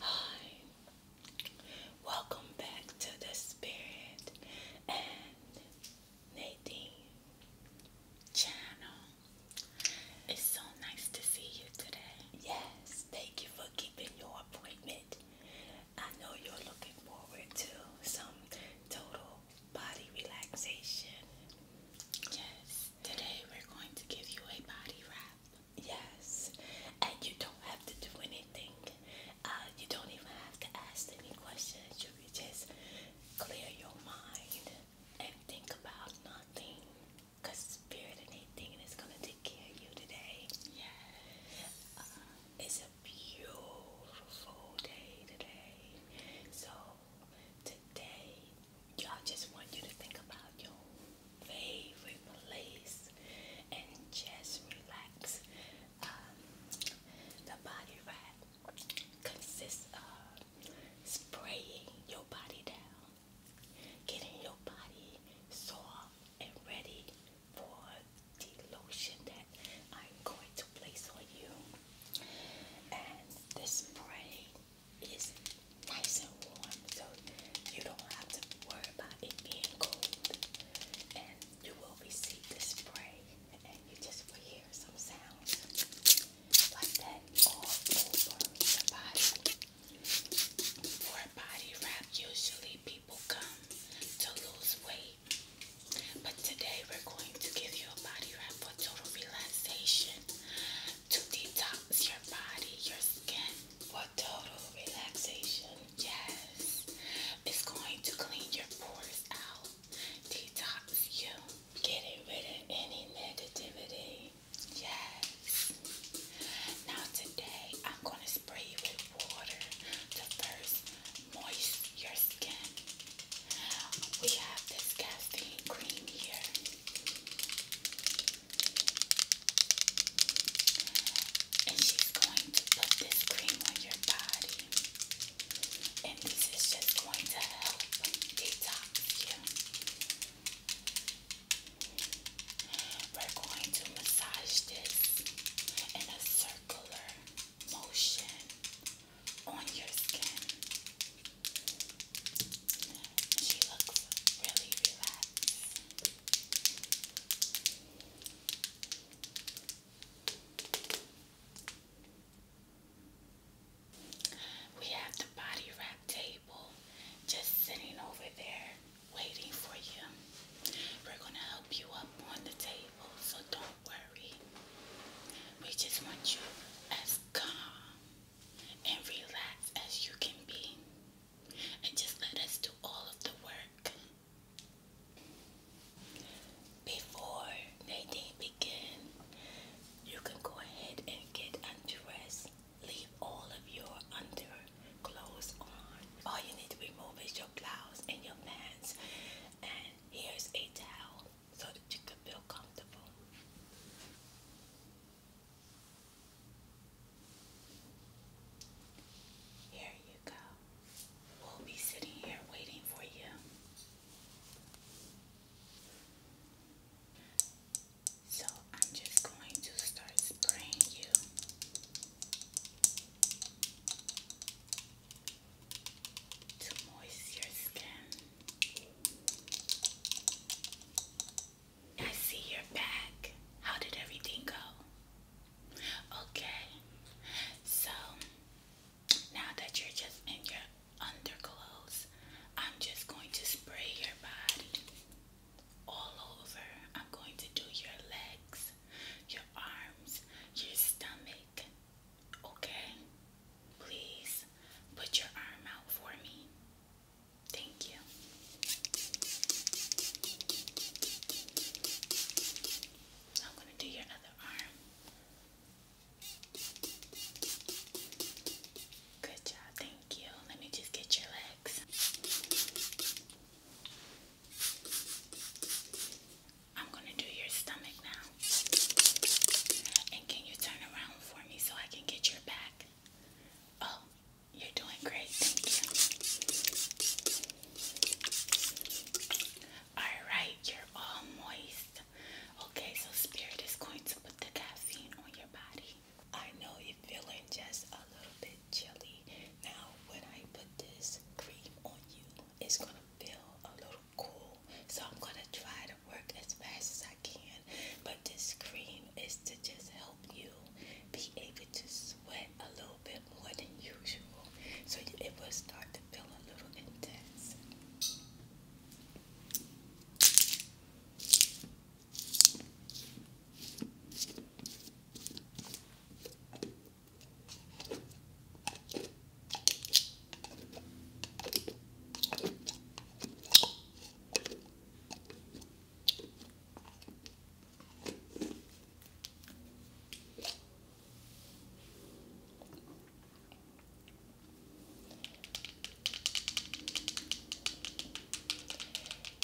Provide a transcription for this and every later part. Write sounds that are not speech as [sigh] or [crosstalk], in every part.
Hi, welcome back to the Spirit and Nadine channel. It's so nice to see you today. Yes, thank you for keeping your appointment. I know you're looking forward to some total body relaxation. Yes, today we're going to give you a body wrap. Yes, and you don't have to do anything. Uh, you don't even have to ask any questions. You just clear your mind and think about nothing. Cause spirit and anything is gonna take care of you today. Yes. Uh, it's a beautiful day today. So today, I just want you to think about your favorite place and just relax. Um, the body wrap consists of spraying your body down, getting your body soft and ready for the lotion that I'm going to place on you. And this spray is nice and warm so you don't have to worry about it being cold. And you will receive the spray and you just will hear some sounds like that all over the body. For a body wrap, usually people come to lose weight. But today we're going to give you a body wrap for total relaxation to detox your body, your skin, total relaxation. Yes, it's going to clean your pores out, detox you, getting rid of any negativity. Yes. Now, today I'm going to spray you with water to first moist your skin. We have this casting cream here. And she's going to put this cream on your body. And this is just going to help detox you. We're going to massage this in a circular motion on your skin. She looks really relaxed. We have the body wrap table just sitting over there waiting for you. We're going to help you up on the table, so don't worry. We just want you as calm and relaxed as you can be and just let us do all of the work. Before they begin, you can go ahead and get undressed. Leave all of your underclothes on. All you need to remove is your blouse and your pants. And here's a towel so that you can feel comfortable. Here you go. We'll be sitting here waiting for you. So I'm just going to start spraying you. To moist your skin, I see you're back. How did everything go? Okay. So now that you're just in your underclothes, I'm just going to spray your body all over. I'm going to do your legs, your arms, your stomach. Okay? Please put your arm out for me. Thank you. I'm going to do your other arm. Good job, thank you. Let me just get your legs. I'm going to do your stomach now. And can you turn around for me so I can get your back? Oh, you're doing great, thank you. Alright, you're all moist. Okay, so Spirit is going to put the caffeine on your body. I know you're feeling just a little bit chilly. Now, when I put this cream on you, it's gonna feel a little cool. So I'm gonna try to work as fast as I can. But this cream is to just help you be able to sweat a little bit more than usual so it will start to feel a little intense.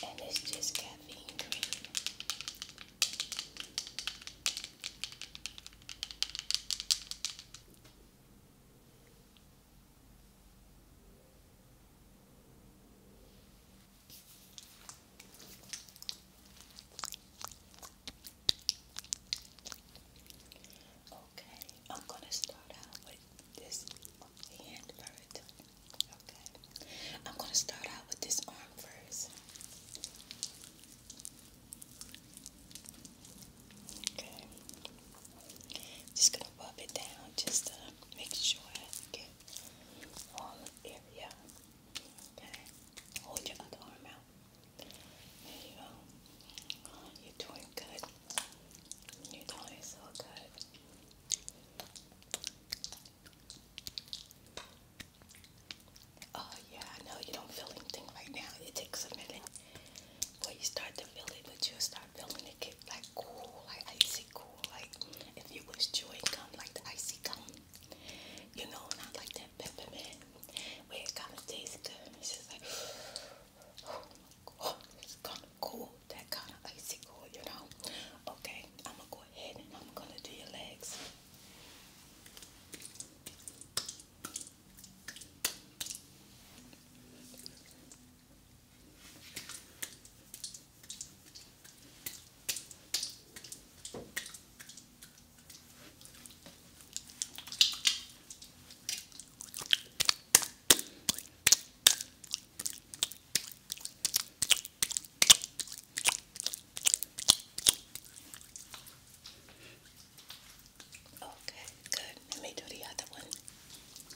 And it's just caffeine Okay, I'm gonna start out with this hand first. Okay, I'm gonna start out with this arm first. Okay, just gonna rub it down just to make sure I olive Okay, hold your other arm out. There you go. you're doing good. You're doing so good. Oh yeah, I you don't feel anything right now. It takes a minute. When you start to feel it, but you start feeling like cool, like icy cool, like if you was chewing gum, like the icy gum. You know, and I like that peppermint where it kind of tastes good. It's just like, [sighs] oh, my god, it's kind of cool, that kind of icy cool, you know? Okay, I'm gonna go ahead and I'm gonna do your legs. Okay, good. Let me do the other one.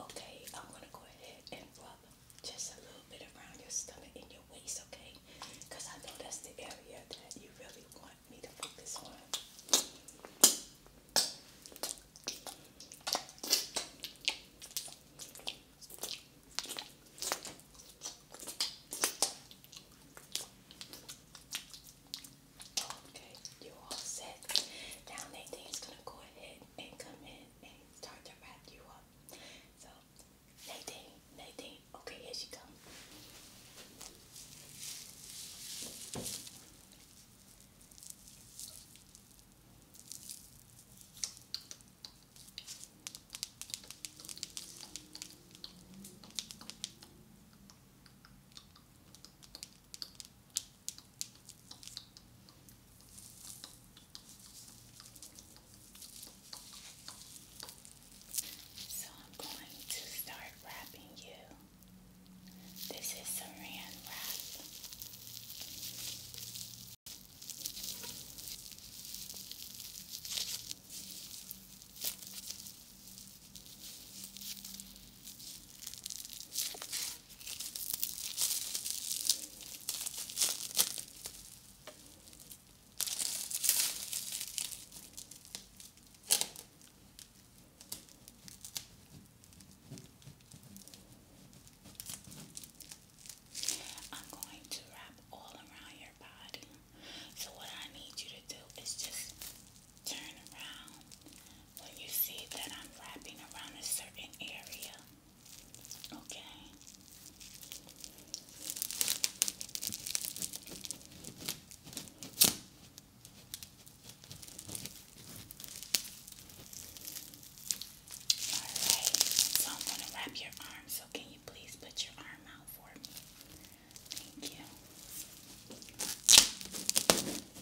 Okay, I'm gonna go ahead and rub just a little bit around your stomach and your waist, okay? Because I know that's the area that you really want me to focus on. Okay, you're all set. Now Nathan's gonna go ahead and come in and start to wrap you up. So, Nadine, Nadine, okay, here she comes. So I'm going to start wrapping you. This is saran wrap. I'm going to wrap all around your body. So, what I need you to do is just turn around when you see that I'm wrapping around a certain area. Okay. Alright, so I'm going to wrap your arm, so can you please put your arm out for me? Thank you.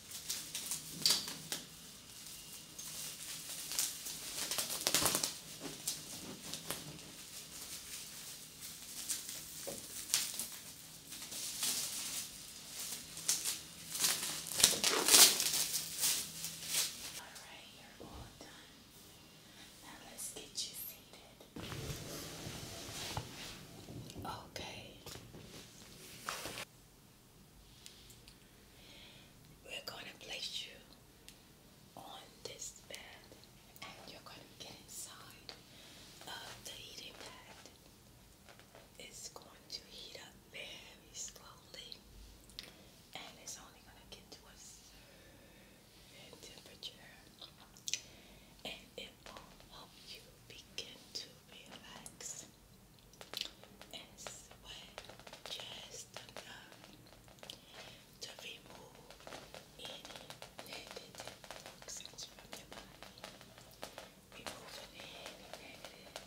Alright, you're all done. Now let's get you seated. Okay. We're going to place you on this bed and you're going to get inside of the heating pad. It's going to heat up very slowly and it's only going to get to a certain temperature it will you begin to relax and sweat just enough to remove any negative toxins from your body. Removing any negative,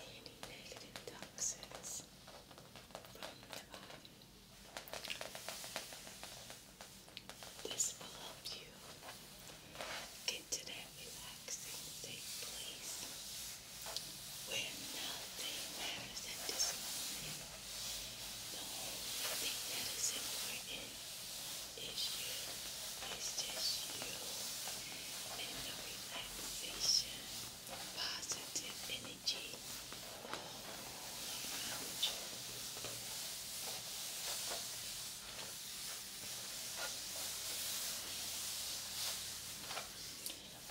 any negative toxins from your body. This will help you get to that relaxing safe place where nothing matters at this moment. The only thing that is important is you. It's just you and the relaxation, positive energy all around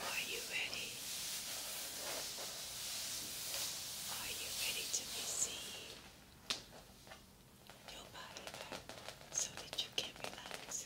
are you ready? Are you ready to receive your body back so that you can relax?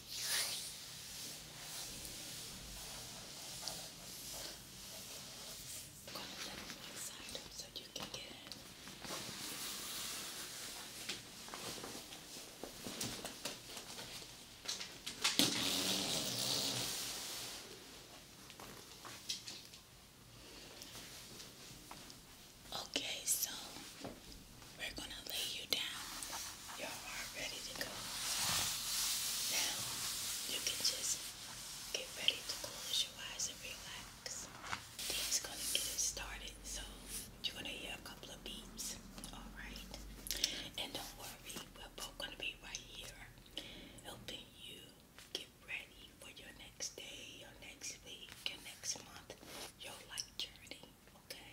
gonna set it one side up so you can get in. Okay, so we're gonna lay you down. You're all ready to go. Now you can just get ready to close your eyes and relax. Dean's gonna get it started, so you're gonna hear a couple of beeps. Alright? And don't worry, we're both gonna be right here helping you get ready for your next day, your next week, your next month, your life journey. Okay?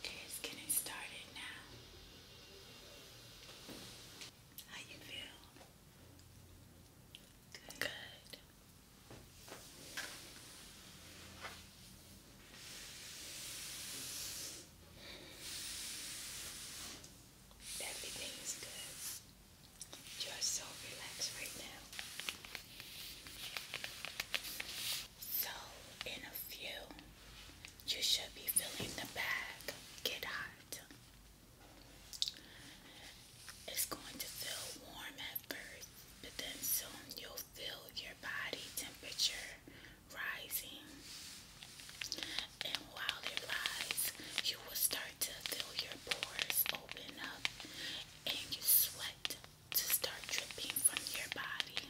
Okay, it's getting started now. How you feel? Good. Everything is good. You are so relaxed right now. So, in a few, you should be feeling the bag get hot. It's going to feel warm at first, but then soon you'll feel your body temperature rising. And while it rises, you will start to fill your pores open up and you sweat to start dripping from your body.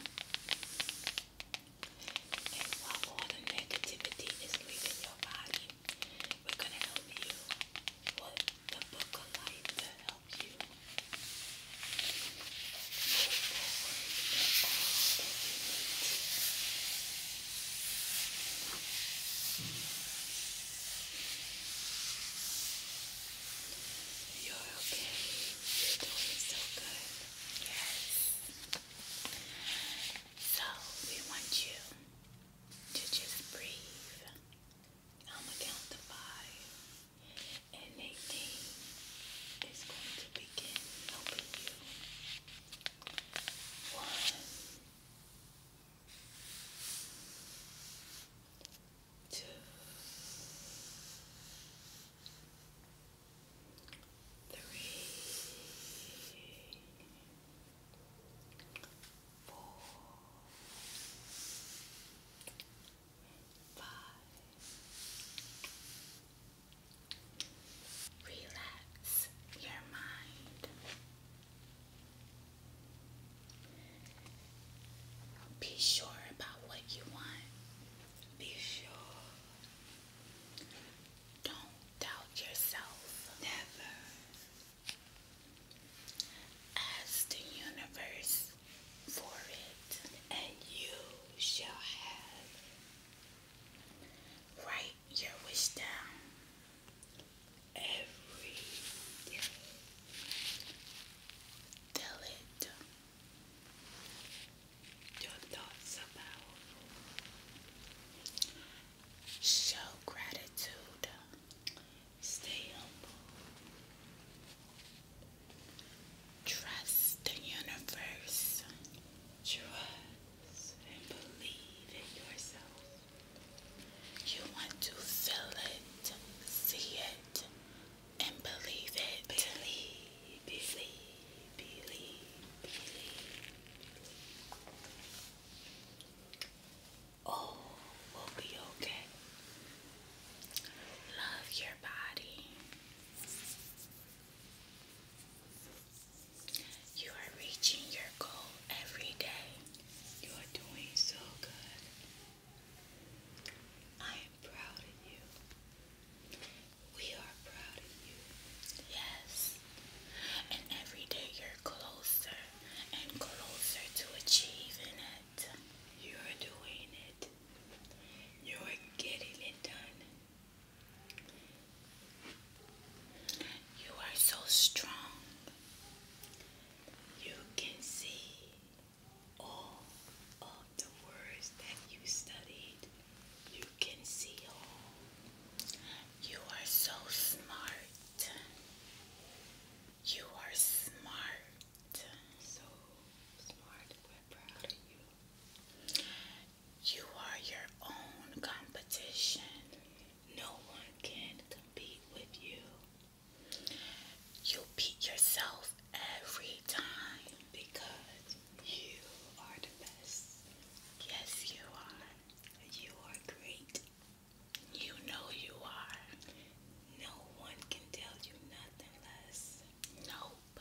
And all the negativity is leaving your body, we're going to help you with the book of life to help you you're okay. You're doing so good. Yes. So we want you to just breathe. I'm gonna count to five. And Nadine is going to begin helping you. One, Two, three, four, five. Relax your mind. Be sure about what you want. Be sure. Don't doubt yourself. Never. Ask the universe for it, and you shall have. Write your wish down every day. Tell it your thoughts about. Show gratitude. Stay humble. Trust the universe. Trust and believe in yourself. You want to feel it, see it, and believe it. Believe, believe, believe, believe. All will be okay. Love your body. You are reaching your goal every day. You are doing so good. I am proud of you. We are proud of you. Yes. And every day you're closer and closer to achieving it. You're doing it. You're getting it done. You are so strong you can see all of the words that you studied. You can see all. You are so smart. You are smart. So smart. We're proud of you. You are your own competition. No one can compete with you. You beat yourself every time because you are the best. Yes, you are. You are great. You know you are. No one can tell you nothing less. Nope.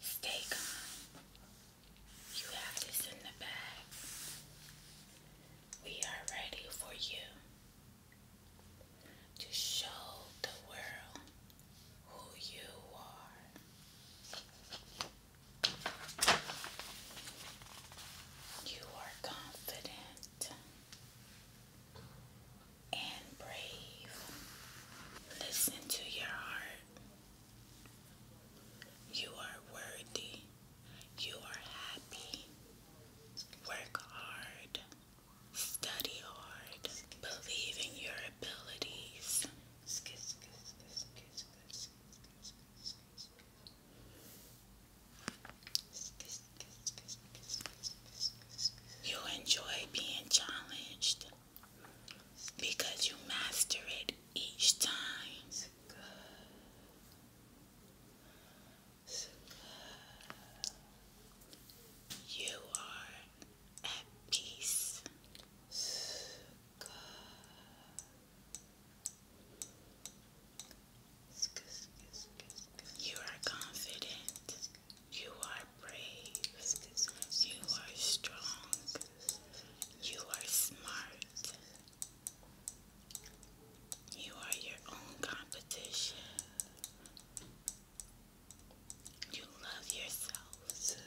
Stay calm. You have this in the bag. We are ready for you to show the world who you are. You are confident and brave. Listen to your heart. You are worthy. You are happy. Work hard. Study hard. Believe in your abilities. You enjoy being challenged because you master it each time. You are at peace. You are confident. You are brave. You are strong. You are smart. You are your own competition. You love yourself.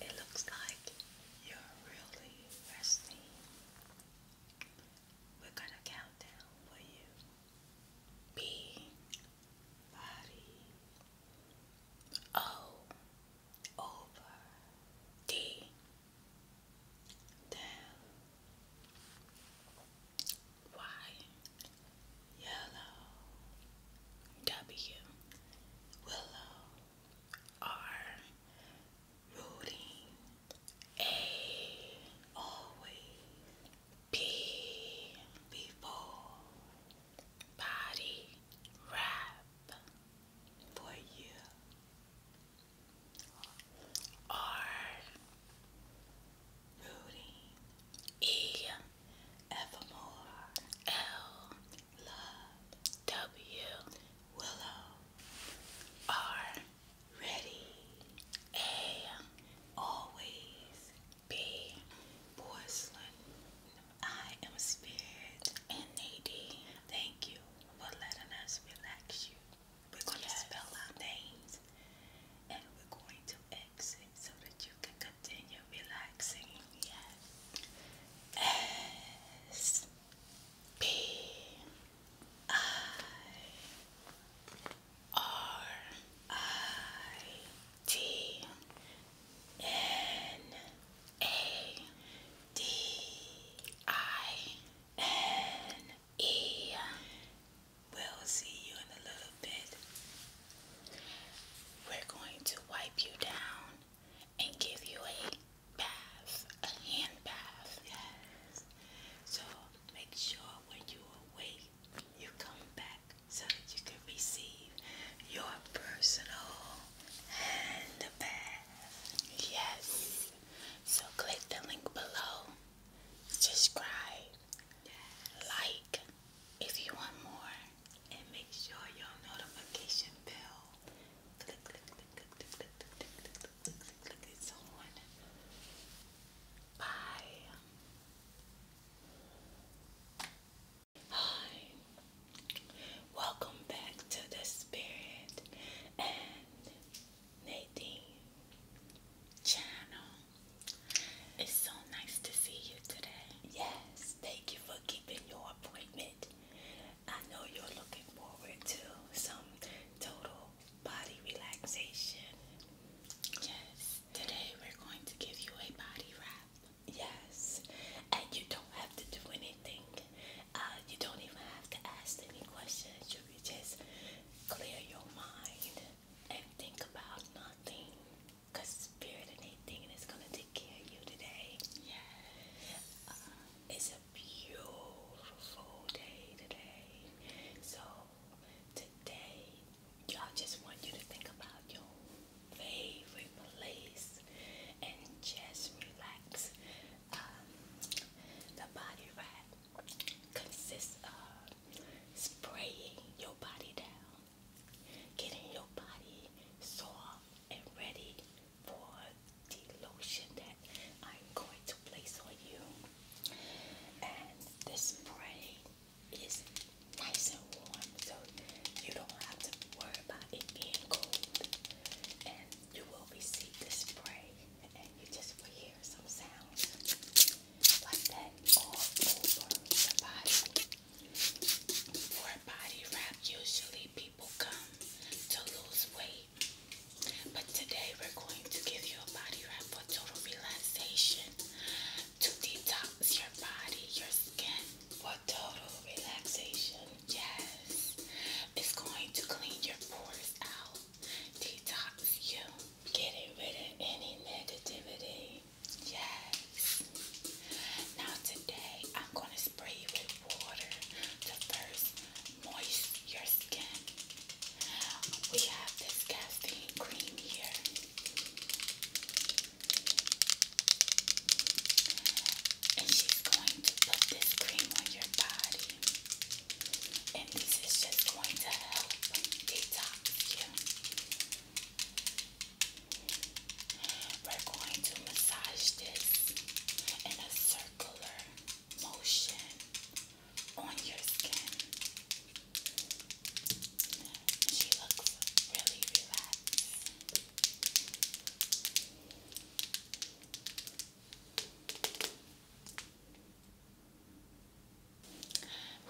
It looks like you're really resting. We're going to count down for you. B, body, O, over the down white yellow W willow R rooting A always P before body wrap for you are rooting E evermore L love W Willow R ready A always B porcelain I am Spirit and Nadine. Thank you for letting us relax you. We're going to spell our names and we're going to exit so that you can continue relaxing. Yes. S P I R I T N A D I N E. We'll see you in a little bit. We're going to wipe you down and give you a bath, a hand bath. Yes. So make sure when you awake, you come back so that you can receive your personal hand Yes. So click the link below, subscribe, like if you want more, and make sure your notification bell. Click, click, click, click, click, click, click, click, click, on. Bye. Hi, welcome back to the Spirit and Nadine channel. It's so nice to see you today. Yes, thank you for keeping your appointment. I know you're looking forward to some total body relaxation. Yes, today we're going to give you a body wrap. Yes, and you don't have to do anything. Uh, you don't even have to ask any questions. You just clear your mind and think about nothing. Because spirit and anything is going to take care of you today. Yes. Uh, it's a beautiful day today. So, today, I just want you to think about your favorite place and just relax. Um, the body wrap consists of spraying your body down, getting your body soft and ready for the lotion that I'm going to place on you. And this spray is nice and warm so you don't have to worry about it being cold. And you will receive the spray and you just will hear some sounds like that all over the body. For body wrap, usually people come to lose weight. But today we're going to give you a body wrap for total relaxation to detox your body, your skin, for total relaxation. Yes, it's going to clean your pores out, detox you, getting rid of any negativity. Yes. Now today I'm going to spray you with water to first moisten your skin. We have this casting cream here. And she's going to put this cream on your body. And this is just going to help detox you. We're going to massage this in a circular motion on your skin. She looks really relaxed.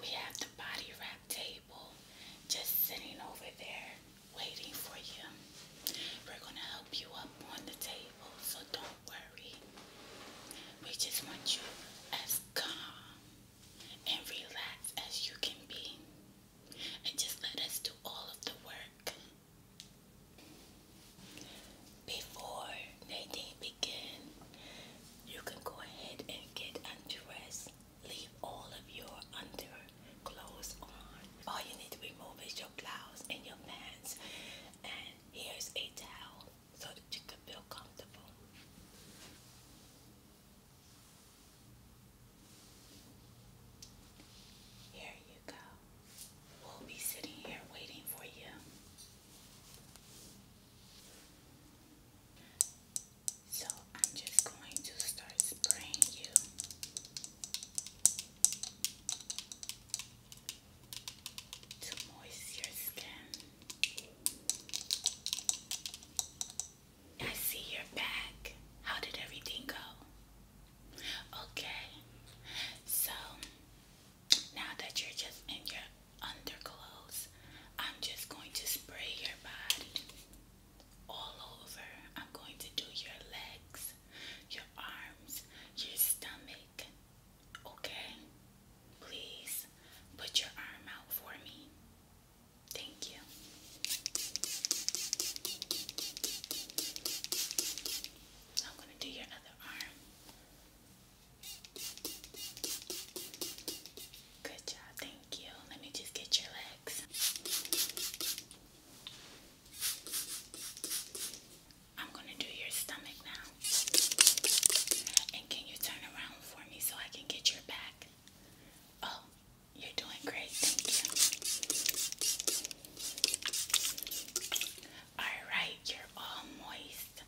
We have the body wrap table just sitting over there waiting for you. We're going to help you up on the table, so don't worry. We just want you as calm and relaxed as you can be and just let us do all of the work. Before Nadine begin, you can go ahead and get undressed. Leave all of your underclothes on. All you need to remove is your blouse and your pants. And here's a towel so that you can feel comfortable. Here you go. We'll be sitting here waiting for you. So I'm just going to start spraying you. To moist your skin. I see you're back. How did everything go? Okay. So now that you're just in your underclothes, I'm just going to spray your body all over. I'm going to do your legs, your arms, your stomach. Okay? Please put your arm out for me. Thank you. I'm going to do your other arm. Good job, thank you. Let me just get your legs. I'm going to do your stomach now. And can you turn around for me so I can get your back? Oh, you're doing great, thank you. Alright, you're all moist.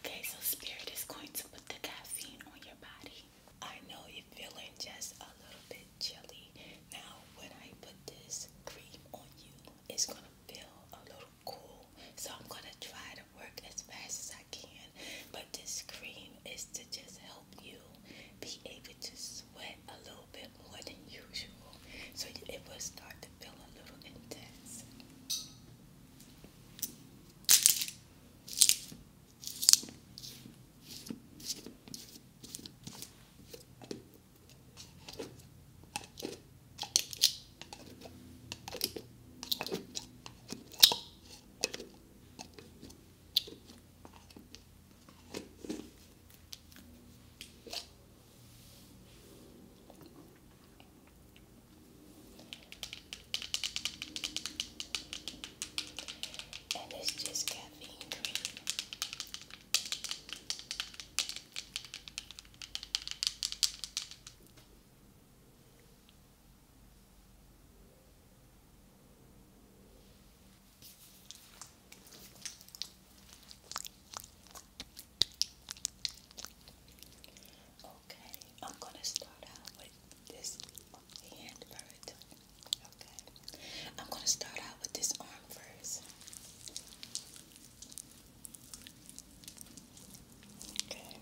Okay, so Spirit is going to put the caffeine on your body. I know you're feeling just a little bit chilly. Now, when I put this cream on you, it's gonna feel a little cool. So I'm gonna try to work as fast as I can. But this cream is to just help help you be able to sweat a little bit more than usual. So it will start to feel a little intense. And it's just caffeine cream. Okay, I'm gonna start out with this hand first. Okay, I'm gonna start out with this arm first. Okay,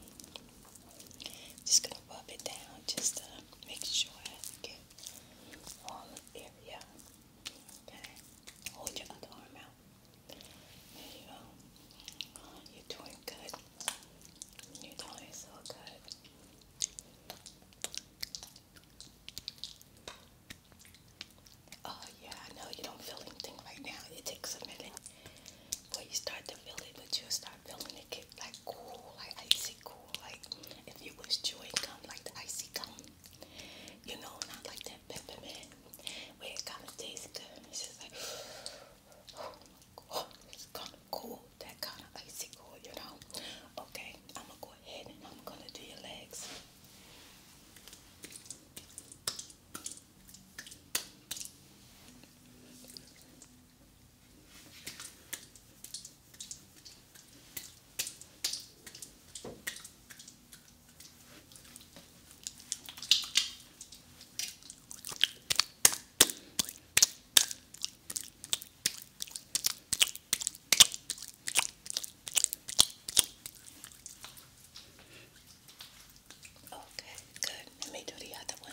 just gonna rub it down just to make sure I okay? Arm Okay? Hold your other arm out. There you go. you're doing good. You're doing so good. Oh yeah, I know you don't feel anything right now. It takes a minute. When you start to feel it, but you start feeling it get like cool, like icy cool, like if you was chewing gum like the icy gum. You know, not like that peppermint where it kind of tastes good. It's just like, [sighs] oh, it's kind of cool, that kind of icy cool, you know? Okay, I'm gonna go ahead and I'm gonna do your legs. Okay, good. Let me do the other one.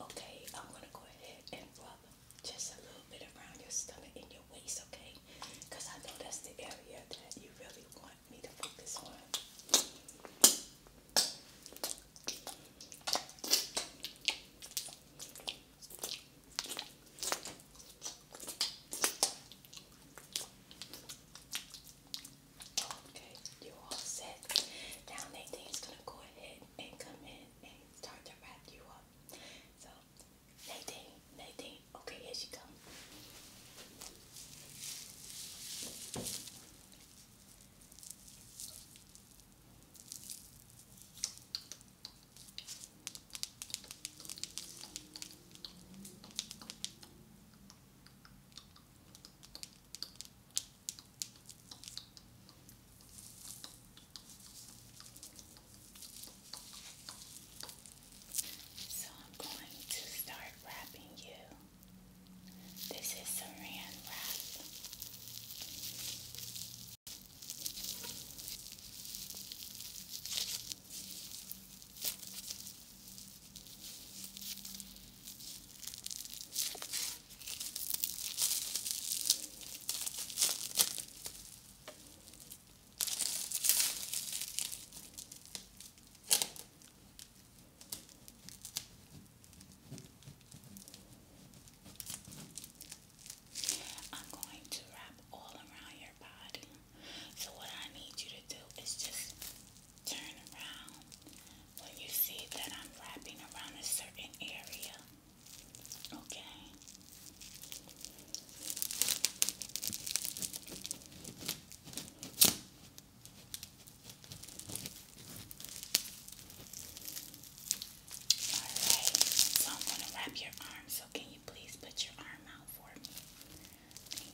Okay, I'm gonna go ahead and rub just a little bit around your stomach and your waist, okay? Because I know that's the area that you really want me to focus on. Okay, you're all set. Now Nathan's gonna go ahead and come in and it's to wrap you up. So, Nadine, Nadine, okay, here she comes. So I'm going to start wrapping you. This is saran wrap. I'm going to wrap all around your body. So, what I need you to do is just turn around when you see that I'm wrapping around a certain area. Okay. Alright, so I'm going to wrap your arm, so can you please put your arm out for me?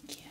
Thank you.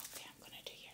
Okay, I'm going to do your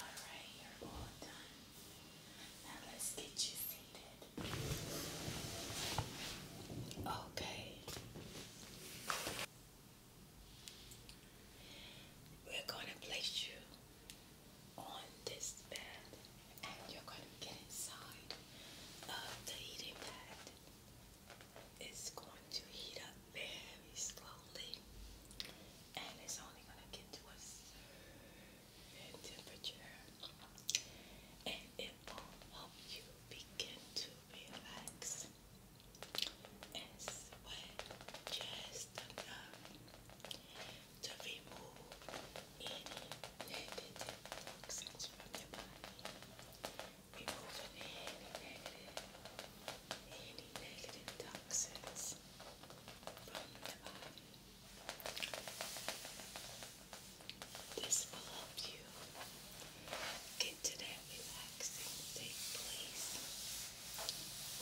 Alright, you're all done. Now let's get you seated. Okay. We're going to place you on this bed and you're going to get inside of the heating pad. It's going to heat up very slowly and it's only going to get to a certain temperature and it will help you begin to relax and just enough to remove any negative toxins from your body. Removing any negative, any negative toxins from the body. This will help you get to that relaxing, safe place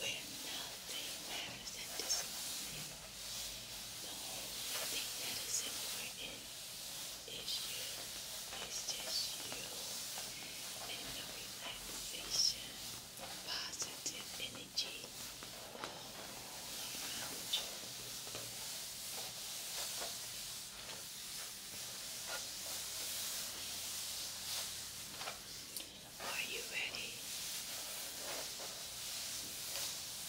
where nothing matters at this moment. The whole thing that is important is you. It's just you and the relaxation, positive energy all around you. Are you ready?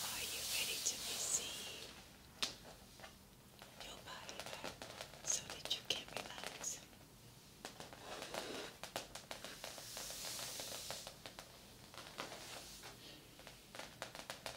Are you ready to receive your body back so that you can relax?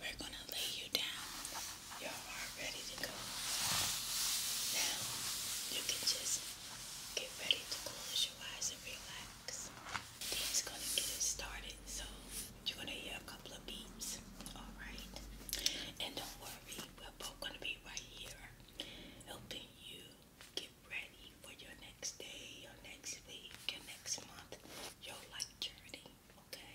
We're gonna lay you down. You're all ready to go. Now you can just get ready to close your eyes and relax. Dan's gonna get us started, so you're gonna hear a couple of beeps. Alright? And don't worry, we're both gonna be right here helping you get ready for your next day, your next week, your next month, your life journey. Okay?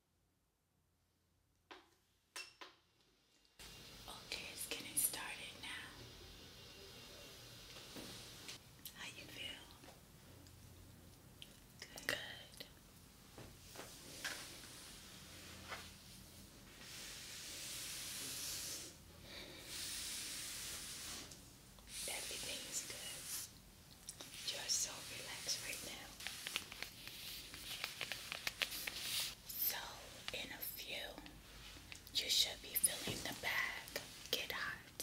Okay, it's getting started now. How you feel? Good. Everything is good. You are so relaxed right now. So, in a few, you should be feeling the bag get hot.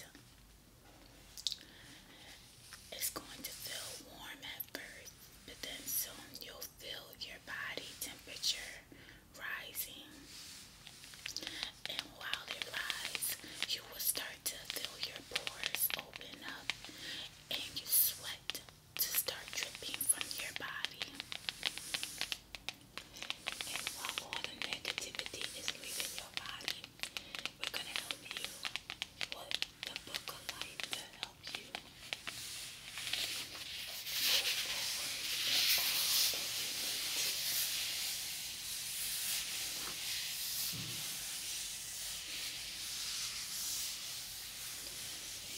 It's going to feel warm at first, but then soon you'll feel your body temperature rising. And while it rises, you will start to feel your pores open up and you sweat to start dripping from your body. And while all the negativity is leaving your body, we're gonna help you with the book of life to help you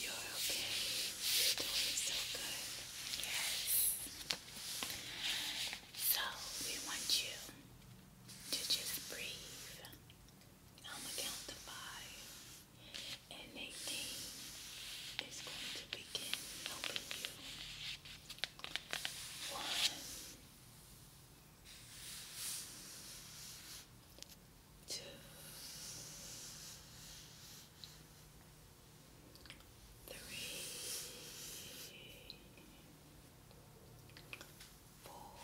you're okay. You're doing so good. Yes. So we want you to just breathe. i count to five. And Nadine is going to begin helping you. One, three, four,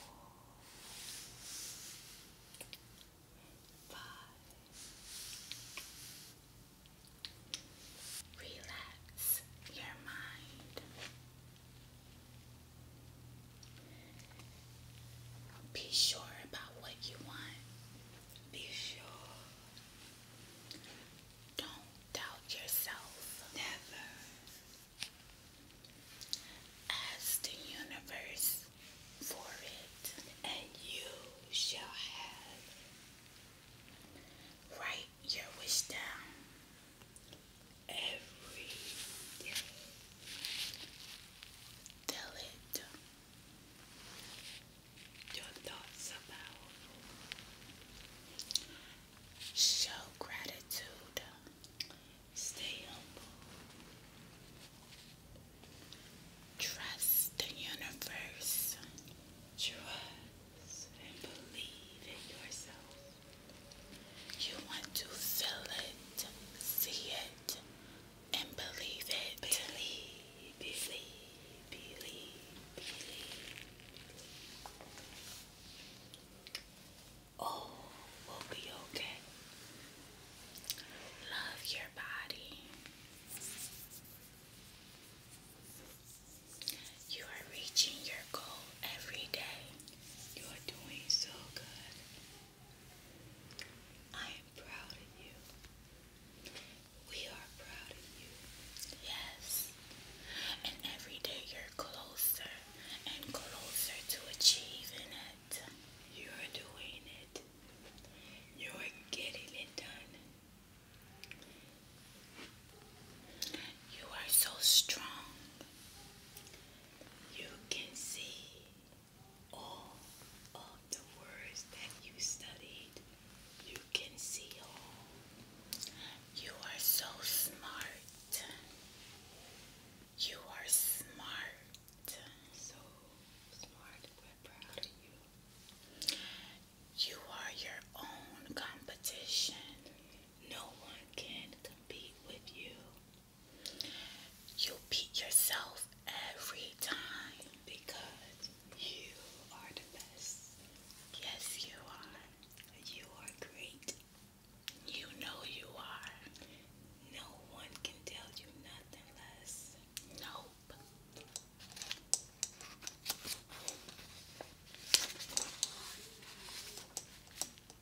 five. Relax your mind. Be sure about what you want. Be sure. Don't doubt yourself. Never. Ask the universe for it, and you shall have. Write your wish down every day. Tell it your thoughts about. Show gratitude. Stay humble. Trust the universe. Trust and believe in yourself. You want to feel it, see it, and believe it. Believe, believe, believe, believe. Oh, we'll be okay. Love your body. You are reaching your goal every day. You are doing so good. I am proud of you. We are proud of you. Yes. And every day you're closer and closer to achieving it. You're doing it. You're getting it done. You are so strong you can see all of the words that you studied. You can see all. You are so smart. You are smart. So smart. We're proud of you. You are your own competition. No one can compete with you. You beat yourself every time because you are the best. Yes, you are. You are great. You know you are. No one can tell you nothing less. Nope.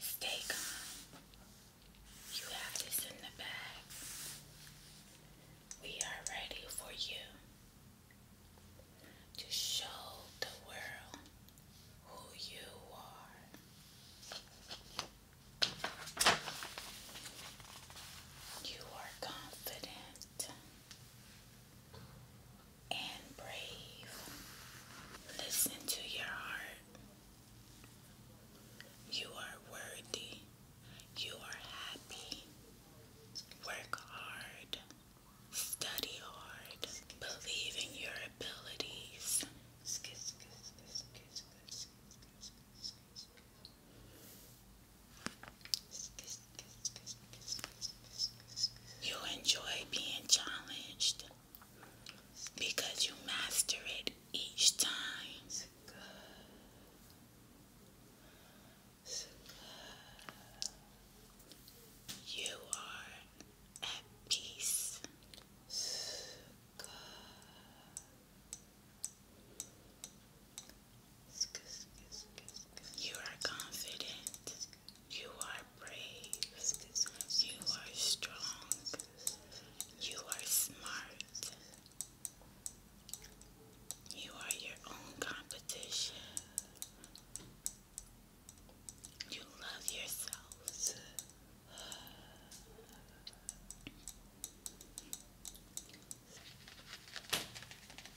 Stay calm. You have this in the bag. We are ready for you to show the world who you are. You are confident and brave. Listen to your heart. You are worthy. You are happy. Work hard. Study hard. Believe in your abilities. You enjoy being challenged because you master it each time. You are at peace. You are confident. You are brave. You are strong. You are smart. You are your own competition. You love yourself.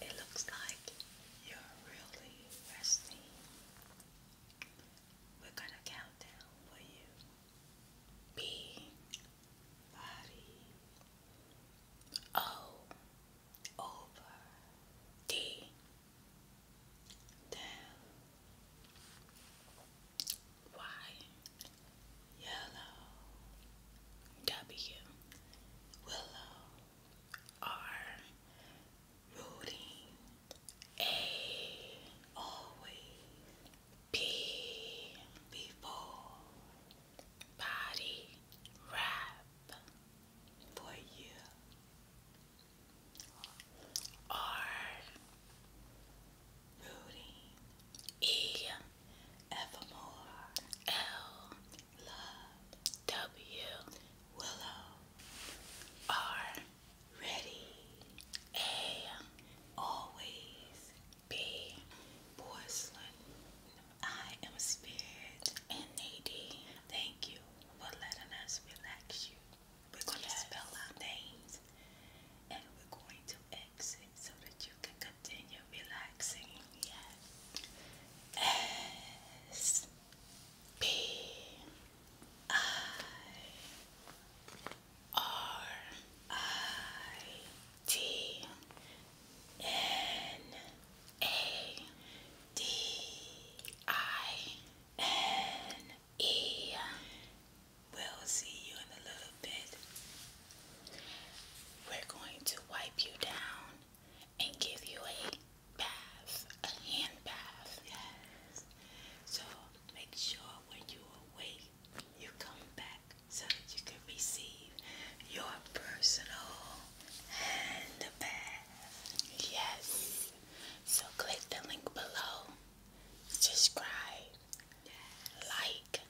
It looks like you're really resting. We're going to count for you. B, body, O, over the yellow W willow R rooting A always P before body wrap for you are rooting E evermore L love W Willow R ready A always be porcelain. I am Spirit and Nadine. Thank you for letting us relax you. We're going to spell our names and we're going to exit so that you can continue relaxing. Yes. S P I R I T N A D I N E. We'll see you in a little bit. We're going to wipe you down and give you a bath, a hand bath. Yes. So make sure when you awake, you come back so that you can receive your personal hand Yes. So click the link below, subscribe, like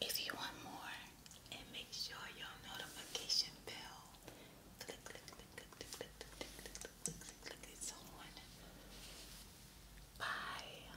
if you want more, and make sure your notification bell. click, click, click, click, click, click, click, click, click, click it's on. Bye.